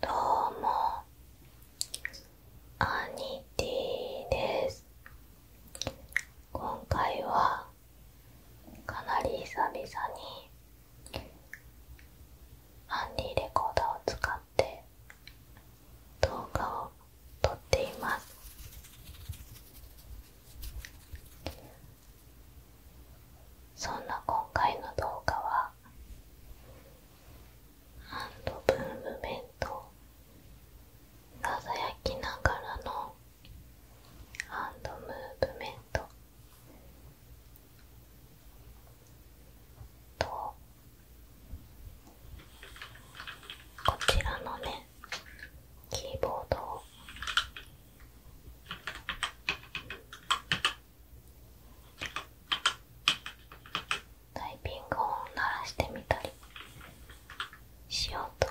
どうもアニティです今回はかなり久々にアンディレコーダーを使って動画を撮っていますそんな今回の動画はハンドブームメントささやきながらのハンドムーブメントとこちらのねキーボードをタイピングを鳴らしてみたりしよう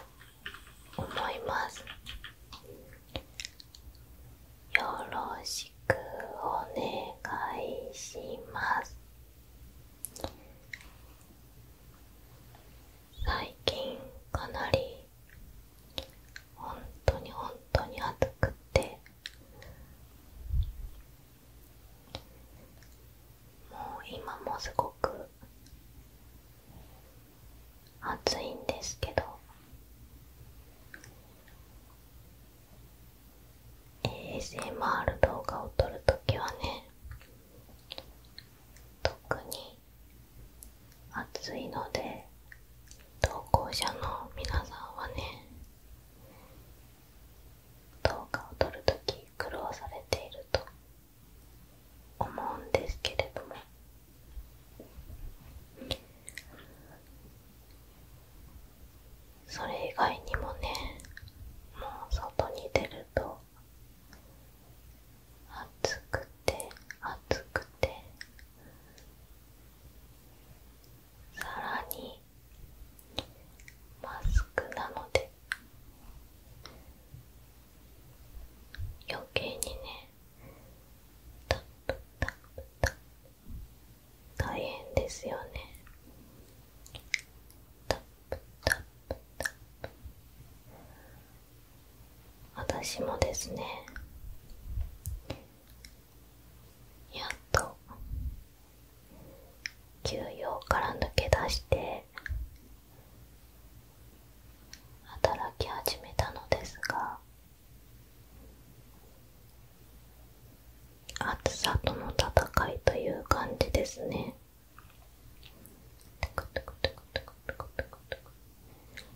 と思いますよろしくお願いします最近かなり本当に本当に暑くてもう今もすごく暑いんですけど ASMR 動画を撮るときはね特に暑いので投稿者の皆さんはね動画を撮るとき苦労されていると思うんですけれどもそれ以外にもねもう外に出ると暑くて暑くてさらにマスクなので余計にねタップタップタップ大変ですよねタップタップタップ私もですねやっと休養から抜け出して働き始めたのですが暑さとの戦いという感じですね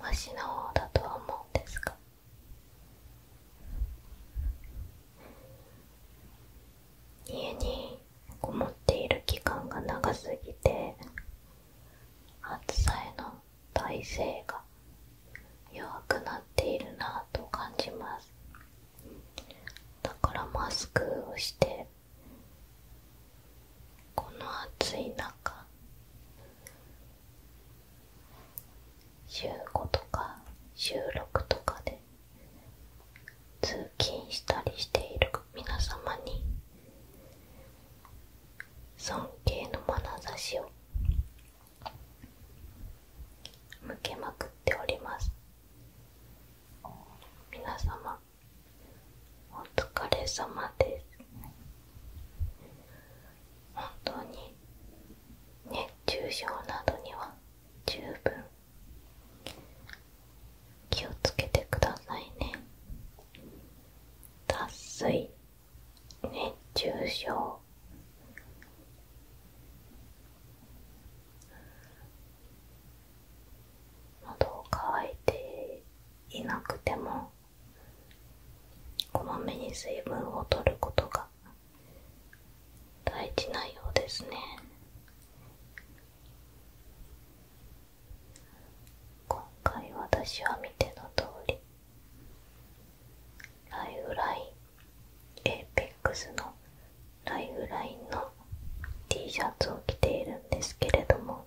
マシな方だとは思うんですが家にこもっている期間が長すぎて暑さへの耐性が弱くなっているなと感じますだからマスクをしてこの暑い中週5とか週6とかで通勤したりしている皆様に尊敬の眼差しを向けまくっております皆様お疲れ様です本当に熱中症などには十分気をつけてくださいね脱水熱中症喉乾いていなくてもこまめに水分を取ることが大事なようですね今回私は見ての通りライフラインエーペックスのライフラインの T シャツを着ているんですけれども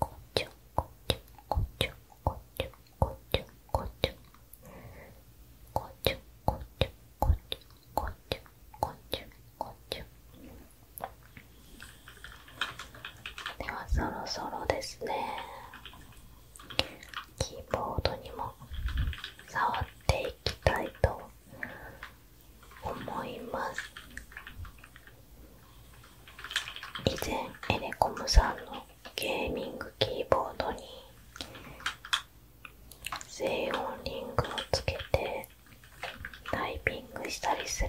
こちょこっちょこっちょこっちょこっちょっちちょっちちょっちちょっではそろそろですねキーボードにも触っていきたいと思います以前エレコムさんのゲーミングキーボードに静音リングをつけてタイピングしたりする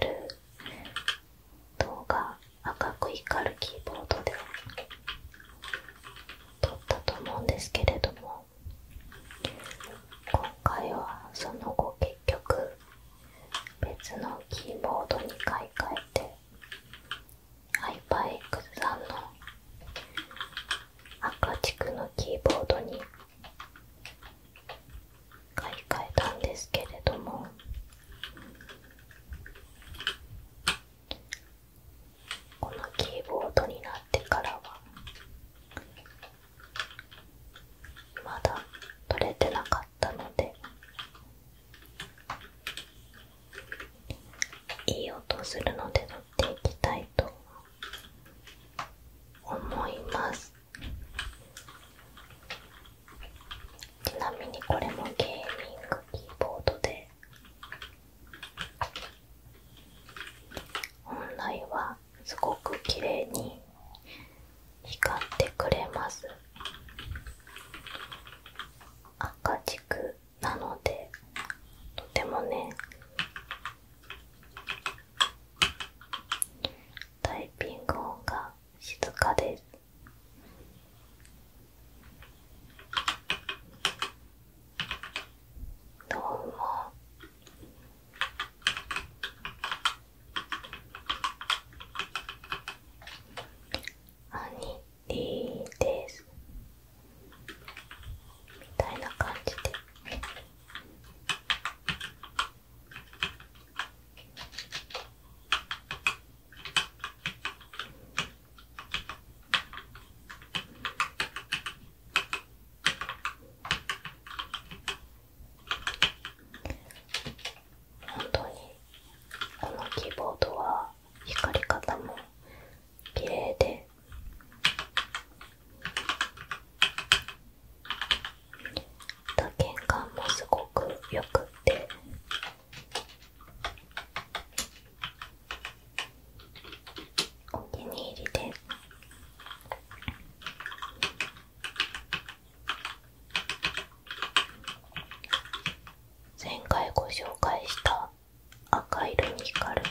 動画赤く光るキーボードで撮ったと思うんですけれども今回はその後結局別のキーボードに買い替えてハイパー x さんの赤軸のキーボードに買い替えたんですけれどもこのキーボードになってからはまだ撮れてなかったのでいい音するので撮っていきたいと思いますちなみにこれもゲーミングキーボードで本来はすごく綺麗に光ってくれます赤軸なのでとてもねタイピング音が静かですどうもアですみたいな感じで本当にこのキーボードは光り方も綺麗で打鍵感もすごくよくてお気に入りで前回ご紹介した赤色に光る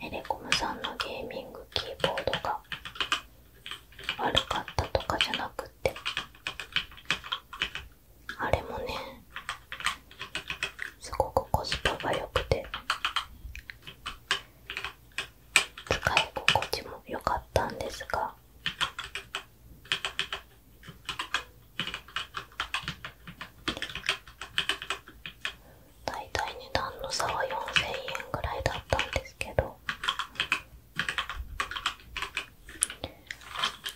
エレコムさんのゲーミングキーボードが悪かったとかじゃなくってあれもねすごくコスパが良くて使い心地も良かったんですがだいたい値段の差は4000円ぐらいだったんですけど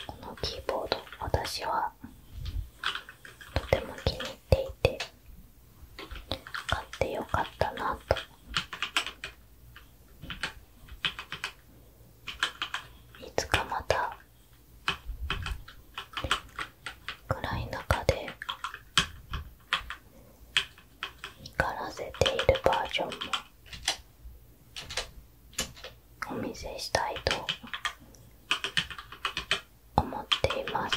このキーボード私はとても気に入っていて買ってよかったなといつかまた暗い中で光らせているバージョンもお見せしたいと思っています。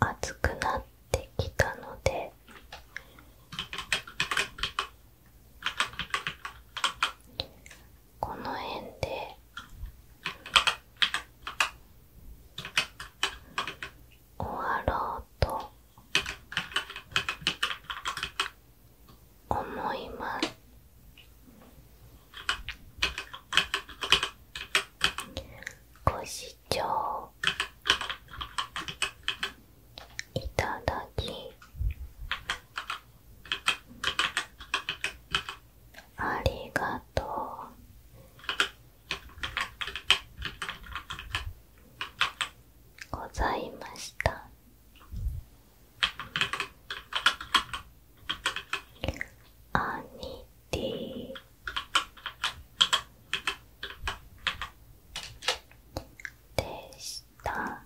熱くなってきたのでこの辺で終わろうと思いますご視聴いただきありがとうございました。アニテでした。